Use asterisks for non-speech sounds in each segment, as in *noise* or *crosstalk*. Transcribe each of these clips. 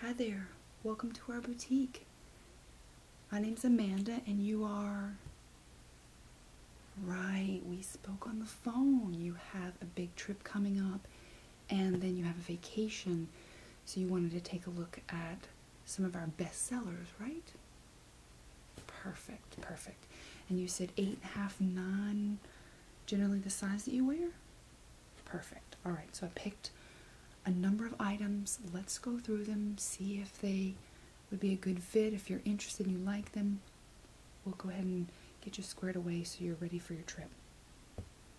Hi there, welcome to our boutique. My name is Amanda, and you are. Right, we spoke on the phone. You have a big trip coming up, and then you have a vacation, so you wanted to take a look at some of our best sellers, right? Perfect, perfect. And you said eight and a half, nine, generally the size that you wear? Perfect. All right, so I picked a number of items. Let's go through them, see if they would be a good fit. If you're interested you like them, we'll go ahead and get you squared away so you're ready for your trip.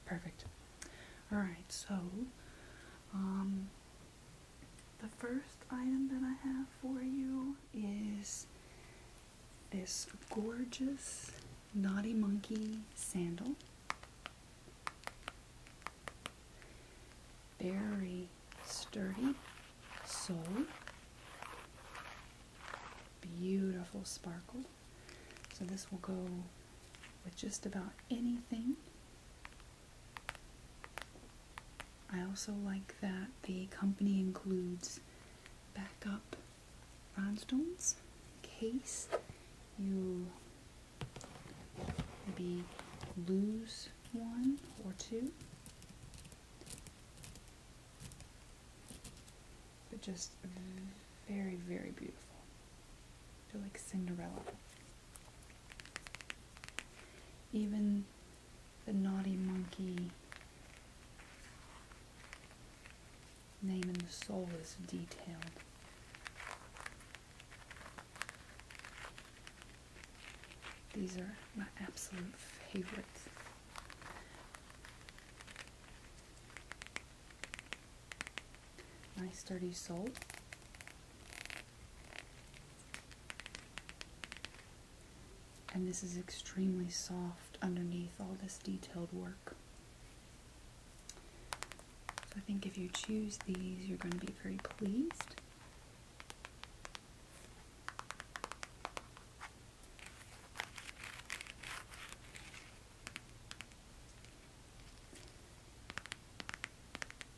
Perfect. All right, so um, the first item that I have for you is this gorgeous Naughty Monkey sandal. Very sturdy sole. Beautiful sparkle. So this will go with just about anything. I also like that the company includes backup rhinestones in case you maybe lose one or two. But just very, very beautiful. They're like Cinderella. Even the naughty monkey name and the soul is detailed. These are my absolute favorites. Nice sturdy soul. And this is extremely soft underneath all this detailed work. So I think if you choose these, you're going to be very pleased.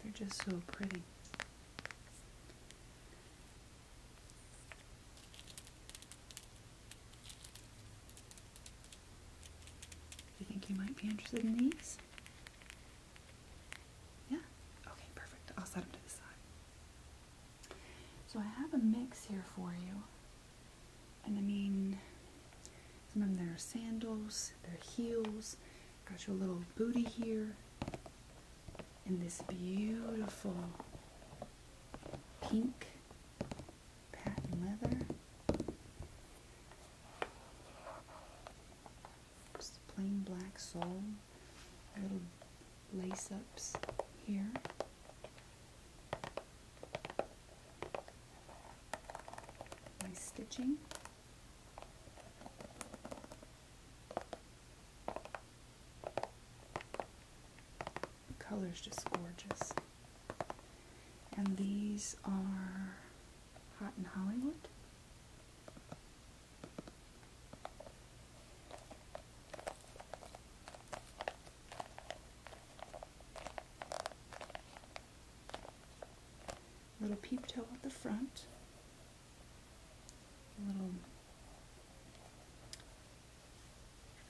They're just so pretty. You think you might be interested in these? Yeah? Okay, perfect. I'll set them to the side. So I have a mix here for you. And I mean, some of them are sandals, they're heels. Got your little booty here. And this beautiful pink patent leather. plain black sole. Little lace ups here. Nice stitching. The color's just gorgeous. And these are Hot in Hollywood. Little peep toe at the front. little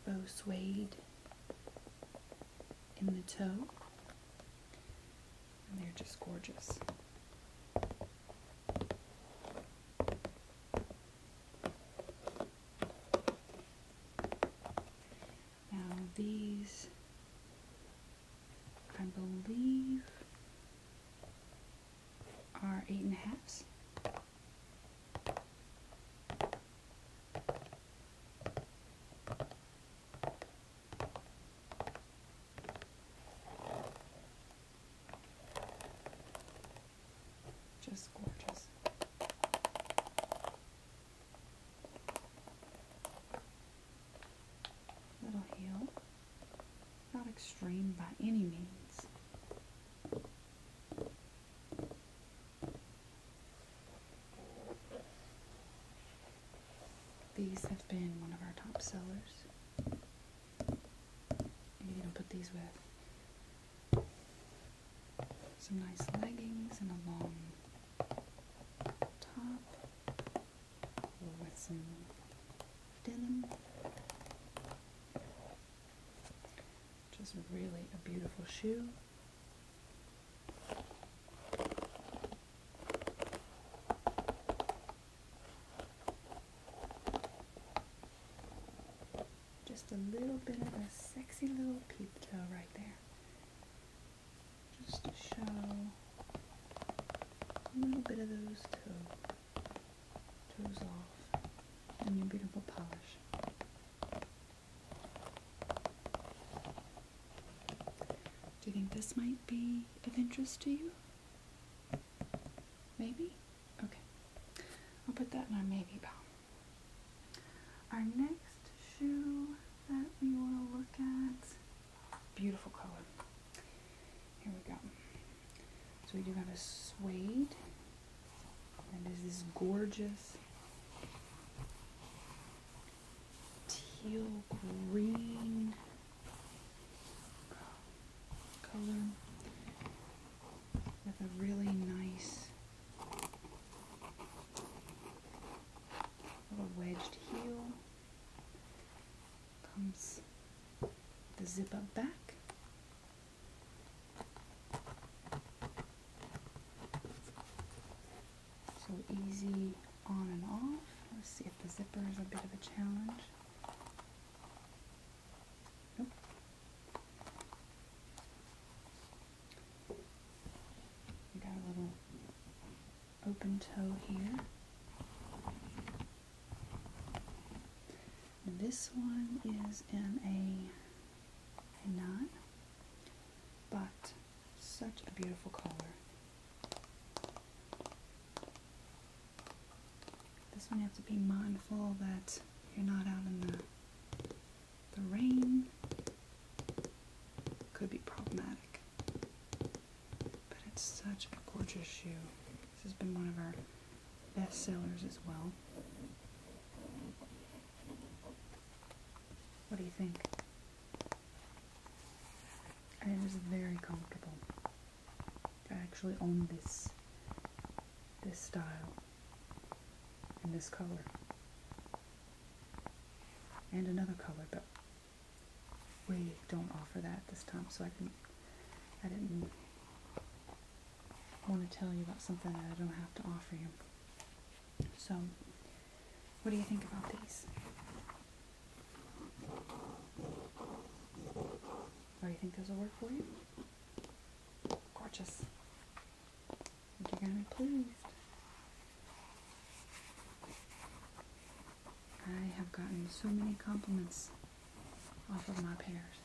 bow suede in the toe. And they're just gorgeous. Now these, I believe, are eight and a halves. Just gorgeous. Little heel. Not extreme by any means. These have been one of our top sellers. You can put these with some nice leggings and a long top or with some denim. Just really a beautiful shoe. Just a little bit of a sexy little peep toe right there. Just to show a little bit of those toe, toes off in your beautiful polish. Do you think this might be of interest to you? Maybe? Okay. I'll put that in our maybe pile. Our next shoe that we want to look at, beautiful color. Here we go. So we do have a suede and there's this gorgeous teal green color with a really nice little wedged heel. Comes the zip up back. So easy on and off. Let's see if the zipper is a bit of a challenge. We got a little open toe here. this one is in a knot. But such a beautiful color. This one you have to be mindful that you're not out in the, the rain. Could be problematic. But it's such a gorgeous shoe. This has been one of our best sellers as well. What do you think? And it is very comfortable. I actually own this this style and this color. And another color, but we don't offer that this time, so I can I didn't want to tell you about something that I don't have to offer you. So what do you think about these? Or you think those will work for you? Gorgeous. I you're gonna be pleased. I have gotten so many compliments off of my pairs.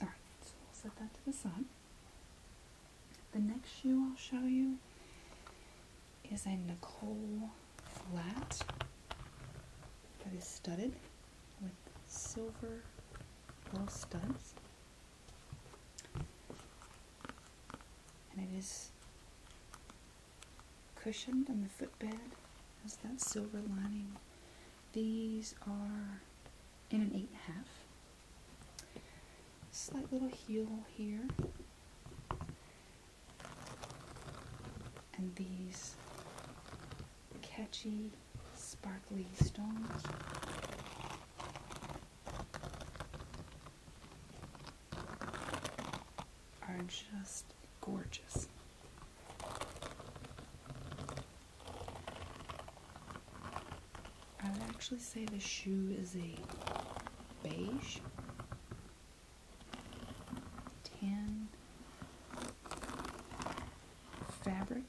Alright, so we'll set that to the side. The next shoe I'll show you is a Nicole flat that is studded with silver little studs. And it is cushioned on the footbed has that silver lining. These are in an eight and a half. Slight little heel here. And these catchy, sparkly stones. Are just gorgeous. I would actually say the shoe is a beige, tan fabric.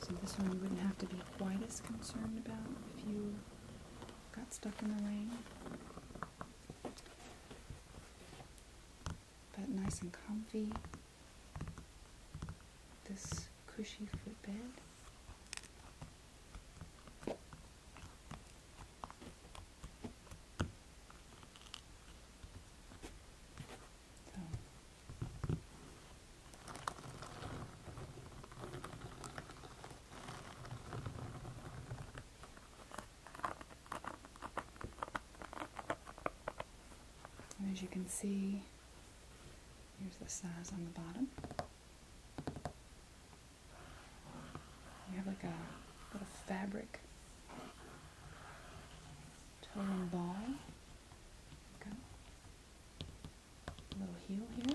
So this one you wouldn't have to be quite as concerned about if you got stuck in the rain but nice and comfy. This cushy footbed. And as you can see, here's the size on the bottom. We have like a little fabric toe and ball. Go. A little heel here.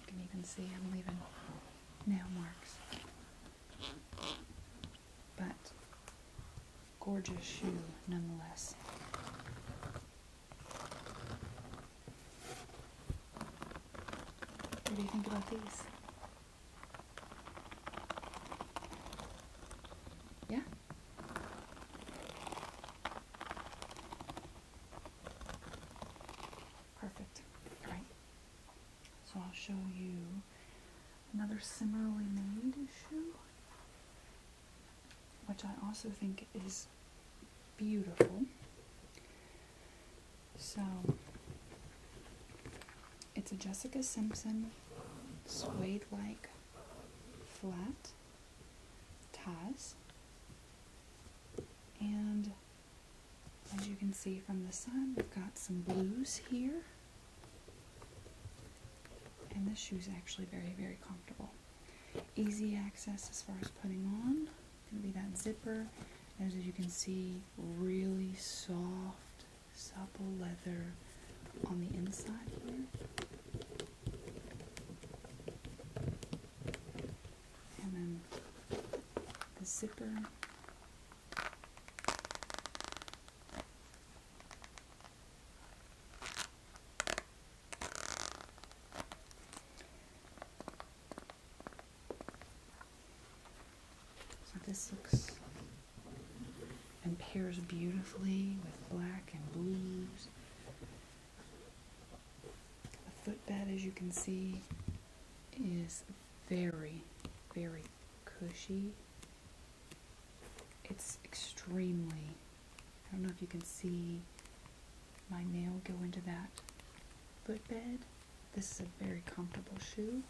You can even see I'm leaving nail marks. But gorgeous shoe nonetheless. What do you think about these? Yeah? Perfect. All right. So I'll show you another similarly made shoe, which I also think is beautiful. So it's a Jessica Simpson suede like flat Taz and as you can see from the sun, we've got some blues here. And this shoe is actually very, very comfortable. Easy access as far as putting on. Gonna be that zipper. As you can see, really soft, supple leather on the inside here and then the zipper. So this looks and pairs beautifully with black and blues the footbed, as you can see, is very, very cushy. It's extremely, I don't know if you can see my nail go into that footbed. This is a very comfortable shoe.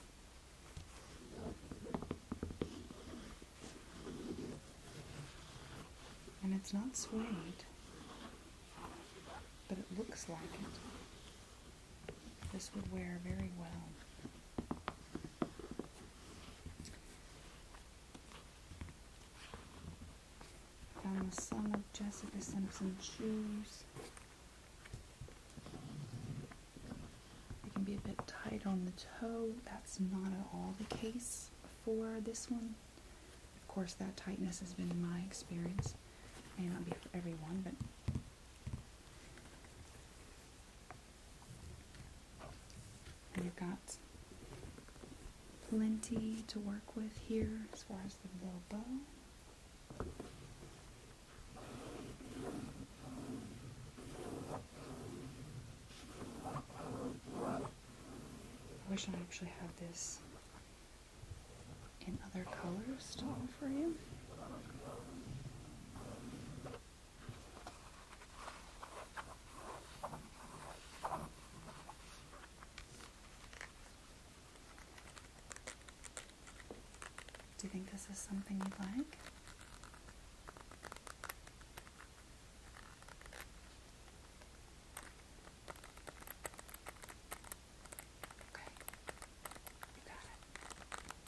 And it's not suede but it looks like it. This would wear very well. Found the son of Jessica Simpson shoes. It can be a bit tight on the toe. That's not at all the case for this one. Of course, that tightness has been my experience. may not be for everyone, but we have got plenty to work with here as far as the little bow. I wish I actually had this in other colors to offer you. Do you think this is something you'd like? Okay. You got it.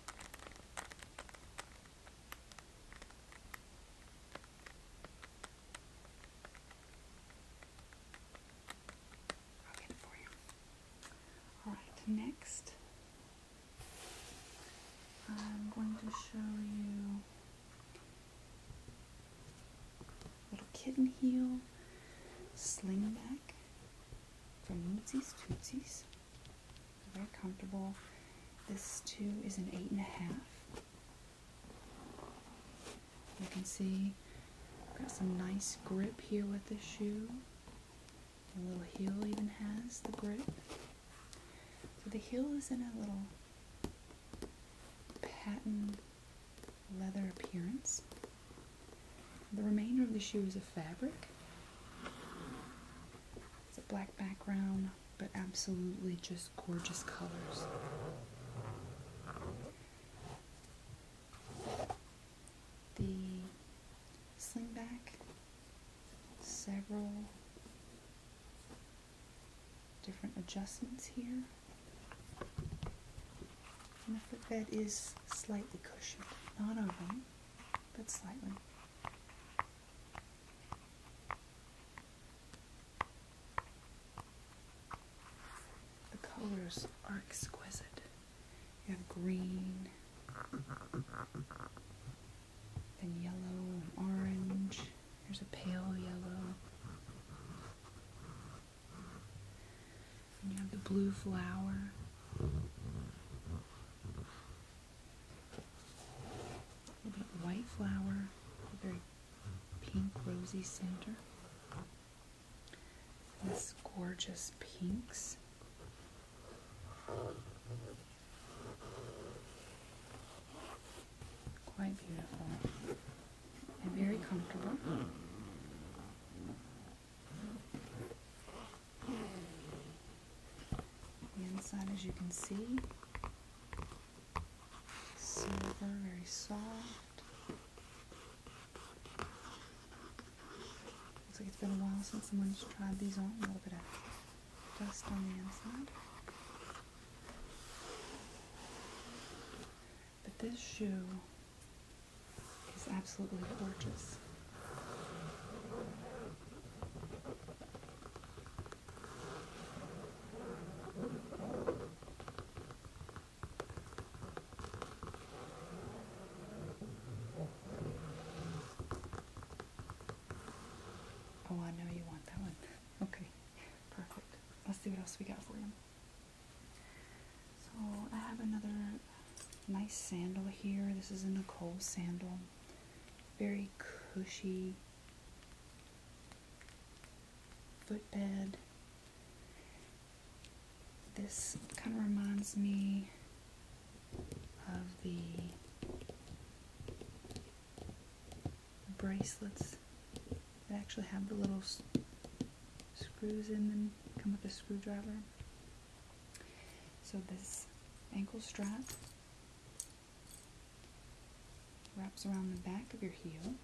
I'll get it for you. All right, next I'm going to show you Little kitten heel, sling back from Mootsies Tootsies. Very comfortable. This too is an eight and a half. You can see got some nice grip here with the shoe. The little heel even has the grip. So the heel is in a little pattern leather appearance. The remainder of the shoe is a fabric. It's a black background, but absolutely just gorgeous colors. The slingback, several different adjustments here the bed is slightly cushioned, not overly, but slightly. The colors are exquisite. You have green, then yellow and orange. There's a pale yellow. And you have the blue flower. A little bit white flower, a very pink rosy center. this gorgeous pinks. Quite beautiful very comfortable. The inside, as you can see, silver, very soft. Looks like it's been a while since someone's tried these on. A little bit of dust on the inside. But this shoe it's absolutely gorgeous. Oh, I know you want that one. *laughs* Okay, perfect. Let's see what else we got for you. So I have another nice sandal here. This is a Nicole sandal. Very cushy footbed. This kind of reminds me of the bracelets they actually have the little screws in them, come with a screwdriver. So this ankle strap wraps around the back of your heel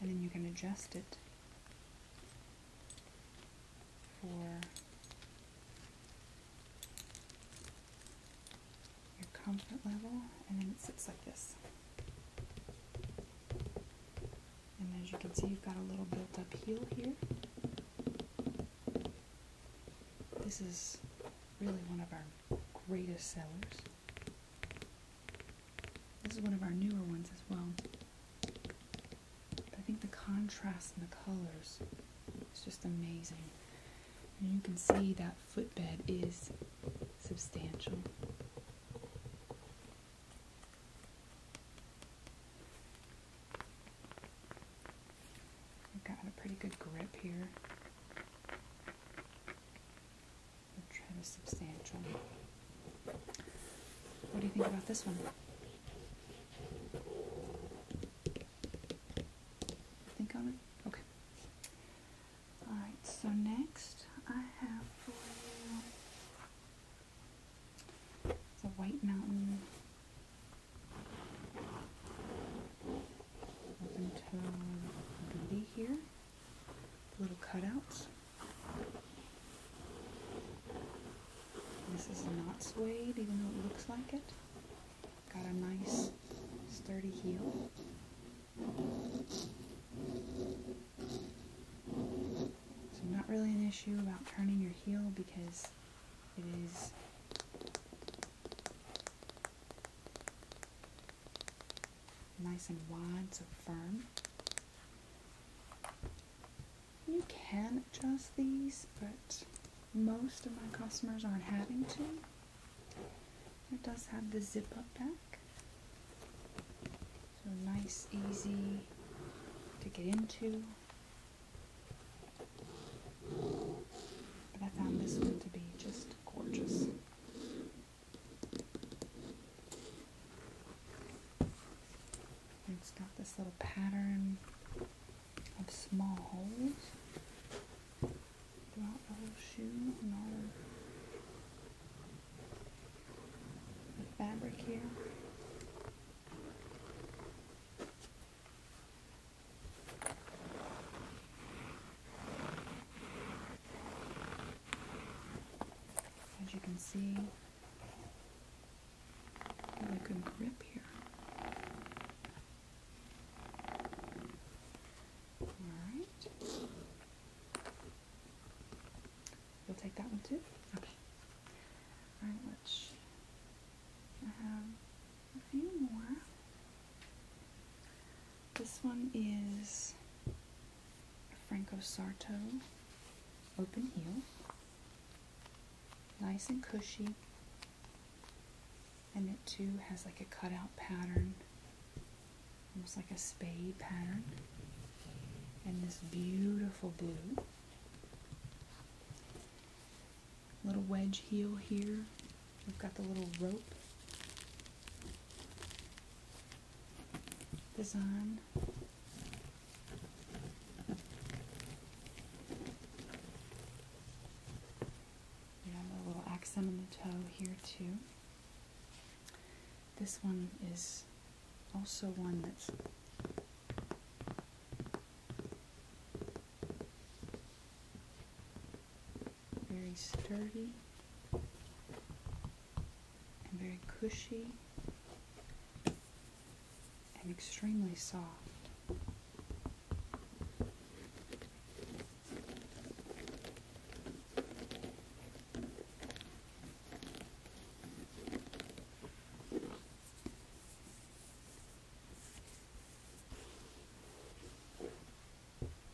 and then you can adjust it for your comfort level and then it sits like this. And as you can see, you've got a little built up heel here. This is really one of our greatest sellers. This is one of our newer ones as well. I think the contrast and the colors its just amazing. And you can see that footbed is substantial. I've gotten a pretty good grip here. We'll substantial. What do you think about this one? Think on it? Okay. Alright, so next I have for you it's a white mountain. Open toe booty here. Little cutouts. This is not suede, even though it looks like it. Got a nice sturdy heel. So not really an issue about turning your heel because it is nice and wide, so firm. You can adjust these, but most of my customers aren't having to. It does have the zip up back. So nice, easy to get into. But I found this one to be just gorgeous. it's got this little pattern of small holes throughout the whole shoe and all the fabric here. As you can see, really good grip here. All right. You'll take that one too? Okay. Alright, let I have a few more. This one is Franco Sarto open heel. Nice and cushy. And it too has like a cutout pattern almost like a spade pattern, and this beautiful blue. Little wedge heel here. We've got the little rope design. We have a little accent on the toe here too. This one is also one that's very sturdy and very cushy and extremely soft. I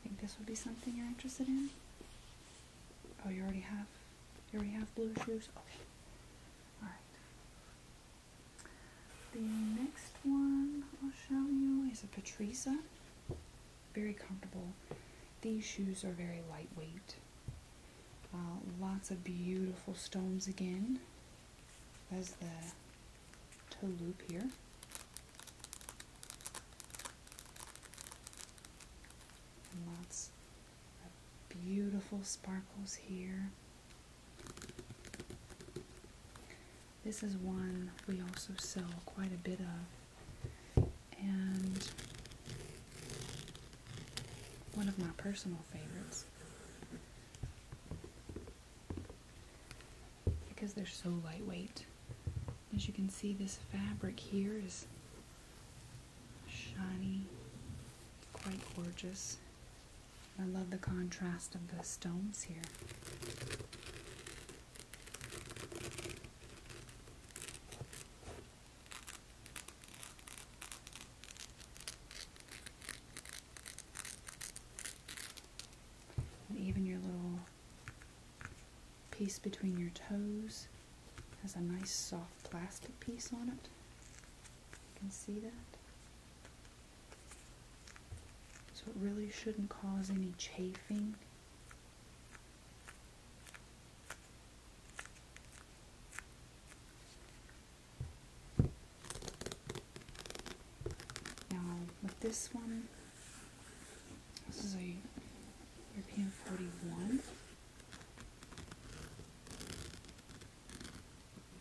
Think this would be something you're interested in? Oh, you already have. You already have blue shoes. Okay. All right. The next one I'll show you is a Patriza. Very comfortable. These shoes are very lightweight. Uh, lots of beautiful stones again. As the toe loop here. And lots of beautiful sparkles here. This is one we also sell quite a bit of and one of my personal favorites because they're so lightweight. As you can see, this fabric here is shiny, quite gorgeous. I love the contrast of the stones here even your little piece between your toes has a nice soft plastic piece on it. You can see that. So it really shouldn't cause any chafing. Now with this one, this is a European 41.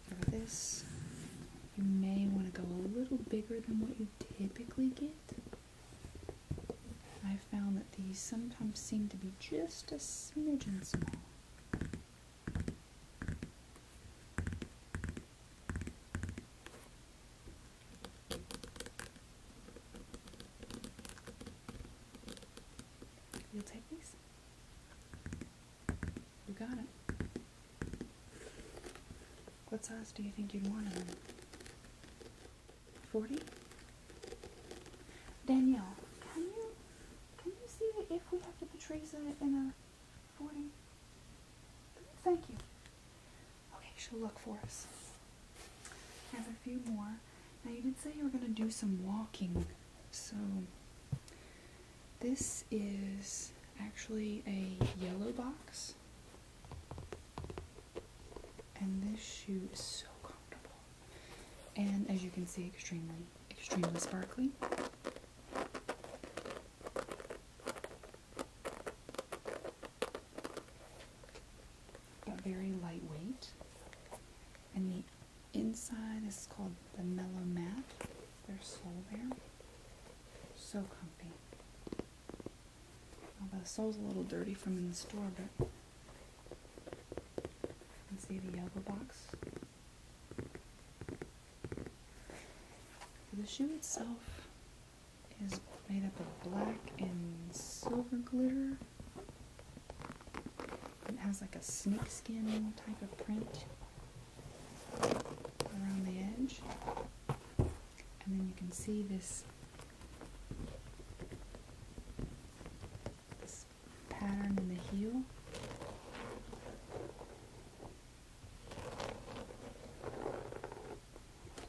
For this, you may want to go a little bigger than what you typically get. I've found that these sometimes seem to be just a smidgen small. You'll take these? You got it. What size do you think you'd want them 40. Danielle, can you can you see if we have to put trees in it in a 40? Thank you. Okay, she'll look for us. Have a few more. Now you did say you were gonna do some walking, so this is actually a yellow box. And this shoe is so comfortable. And as you can see, extremely, extremely sparkly. But very lightweight. And the inside is called the Mellow Mat. Their sole there. So comfy. Although the sole's a little dirty from in the store, but and see the yellow box. The shoe itself is made up of black and silver glitter. It has like a snakeskin type of print around the edge. And then you can see this this pattern in the heel.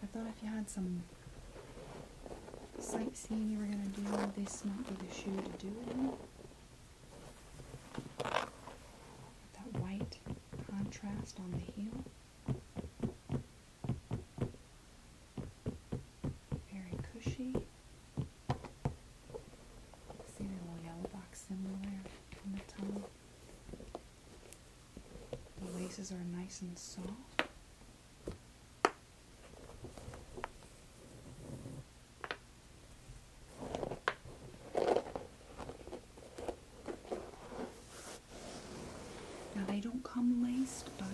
I thought if you had some sightseeing you were going to do, this might be the shoe to do it in. that white contrast on the heel. Very cushy. See the little yellow box symbol the tongue. The laces are nice and soft. Now they don't come laced, but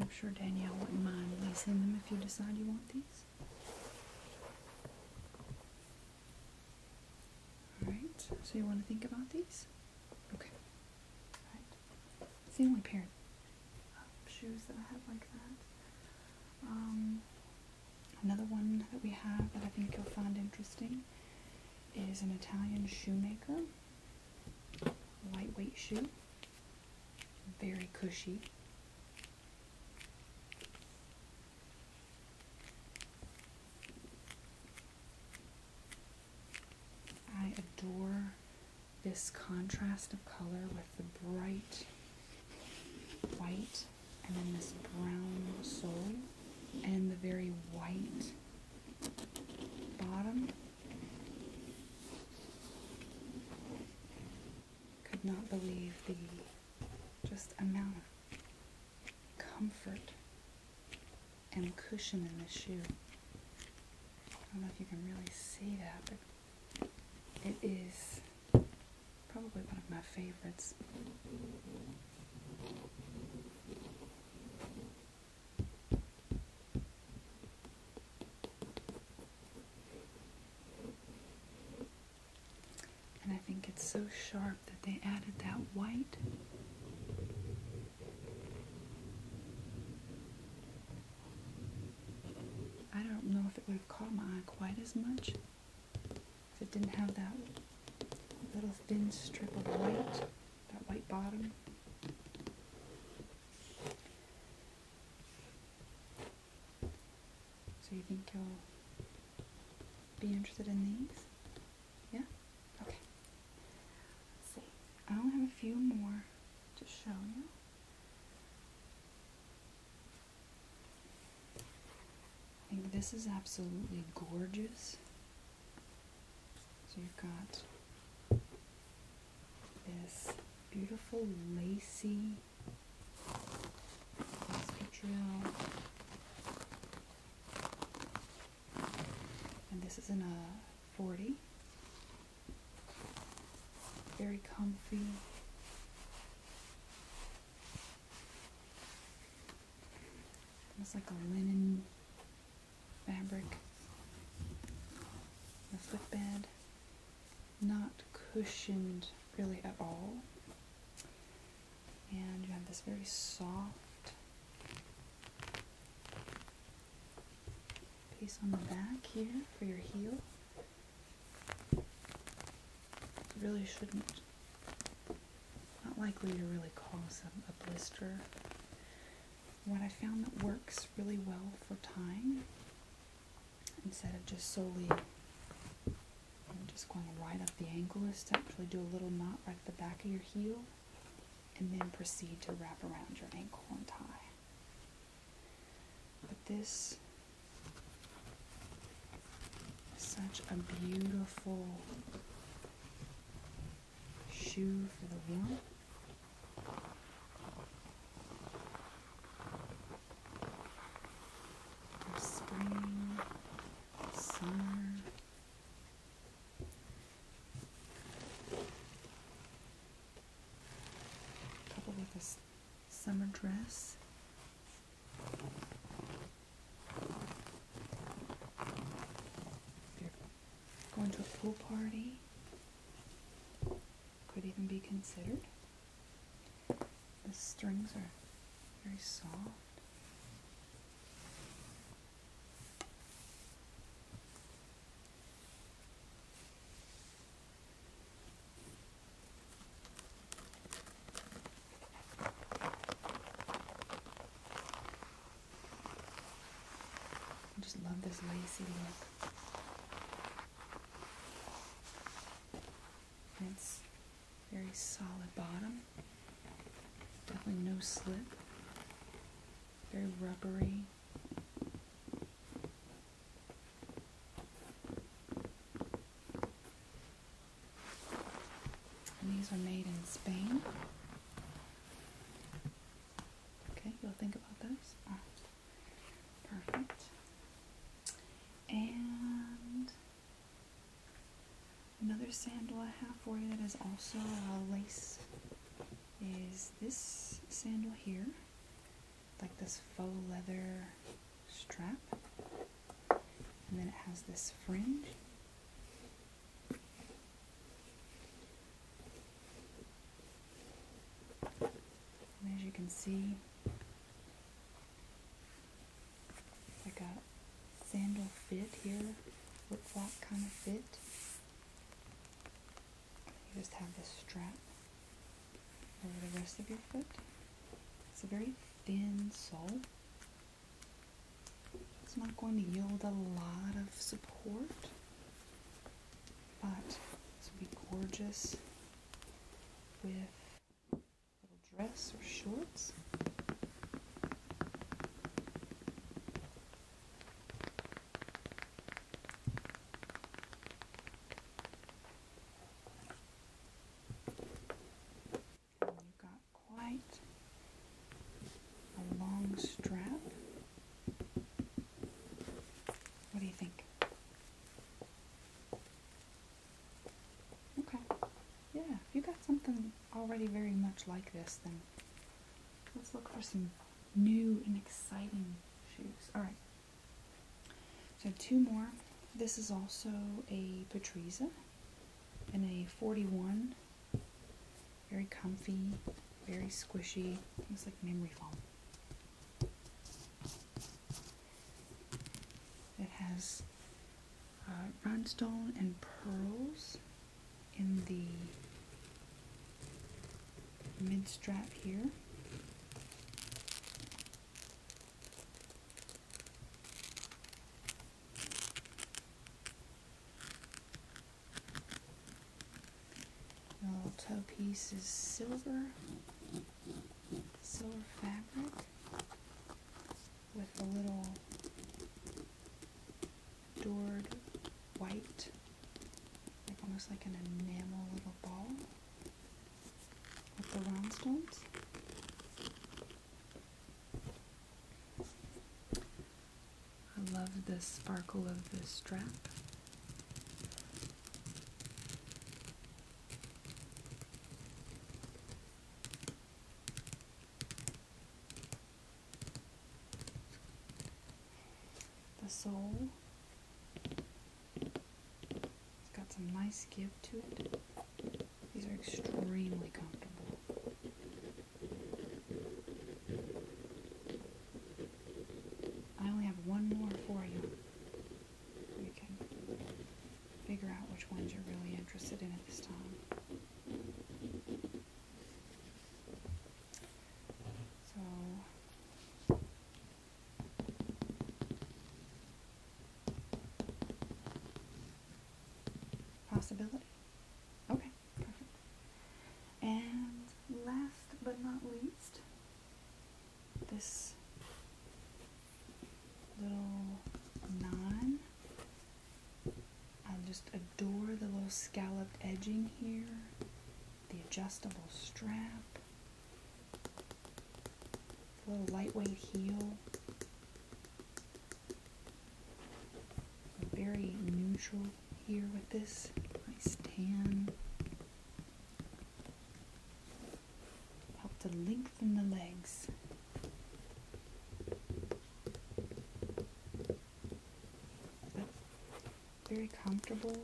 I'm sure Danielle wouldn't mind leasing them if you decide you want these. Alright, so you want to think about these? Okay. It's the only pair of shoes that I have like that. Um, another one that we have that I think you'll find interesting is an Italian shoemaker. Lightweight shoe. Very cushy. I adore this contrast of color with the bright white and then this brown sole and the very white bottom could not believe the just amount of comfort and cushion in this shoe. I don't know if you can really see that, but it is probably one of my favorites. And I think it's so sharp that they added that white. I don't know if it would have caught my eye quite as much if it didn't have that little thin strip of white that white bottom. So you think you'll be interested in these? Yeah? Okay. Let's see. I only have a few more to show you. I think this is absolutely gorgeous. So you've got this beautiful lacy lacy drill. And this is in a 40. Very comfy. It's like a linen fabric, the footbed, not cushioned really at all. And you have this very soft piece on the back here for your heel. really shouldn't, not likely to really cause a blister what I found that works really well for tying, instead of just solely just going right up the ankle, is to actually do a little knot right at the back of your heel and then proceed to wrap around your ankle and tie. But this is such a beautiful shoe for the wheel. spring, summer. Couple this summer dress. If Going to a pool party could even be considered. The strings are very soft. I just love this lacy look. it's very solid bottom. Definitely no slip. Very rubbery. these are made in Spain. Okay, you'll think about those. Perfect. And another sandal I have for you that is also a lace is this sandal here, like this faux leather strap, and then it has this fringe as you can see, I got sandal fit here, flip flop kind of fit. You just have this strap over the rest of your foot. It's a very thin sole. It's not going to yield a lot of support. But this would be gorgeous with a little dress or shorts. you've got quite a long strap what do you think? Okay. Yeah, if you got something already very much like this, then let's look for some new and exciting shoes. Alright. So two more. This is also a Patrizia, and a 41 very comfy, very squishy. looks like memory foam. It has uh, rhinestone and pearls in the mid strap here. The little toe piece is silver, silver fabric with a little adored white, like almost like an enamel little ball with the rhinestones. I love the sparkle of the strap. The sole. It's got some nice give to it. These are extremely comfortable. I only have one more for you. We can figure out which ones you're really interested in at this time. So, possibility? Okay. *laughs* And last but not least, this little nine. I just adore the little scalloped edging here, the adjustable strap, the little lightweight heel. A very neutral here with this nice tan. Help to lengthen the legs. very comfortable.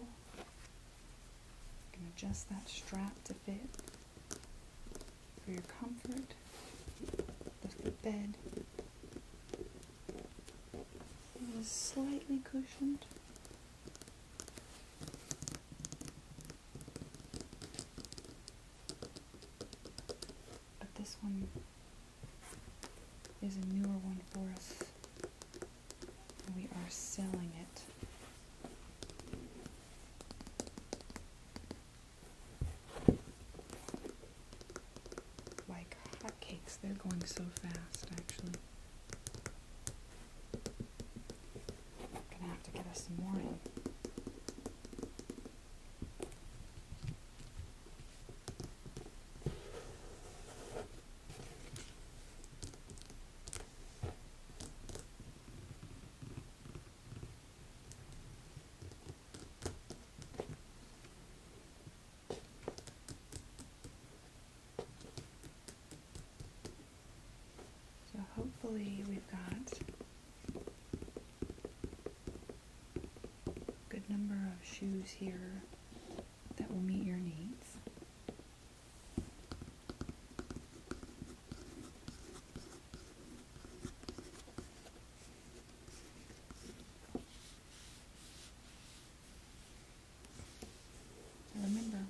can adjust that strap to fit for your comfort. the bed. It was slightly cushioned. But this one is a newer one for us. We are selling it like hotcakes. They're going so fast, actually. gonna have to get us more so hopefully we've got a good number of shoes here that will meet your needs. I remember. You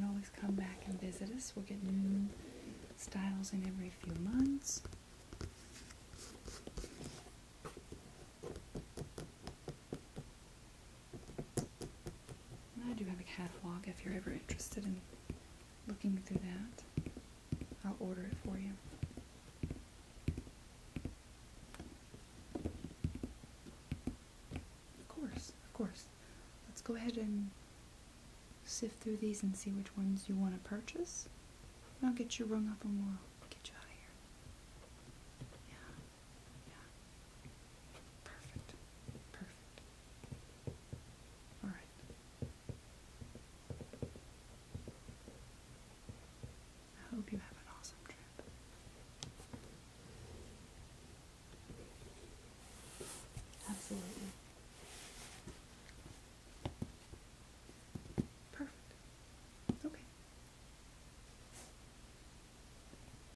can always come back and visit us. We'll get new styles in every few months. I do have a catalog if you're ever interested in looking through that. I'll order it for you. Of course, of course. Let's go ahead and sift through these and see which ones you want to purchase. I'll get you rung up and we'll get you out of here. Yeah. Yeah. Perfect. Perfect. All right. I hope you have an awesome trip. Absolutely. Perfect. Okay.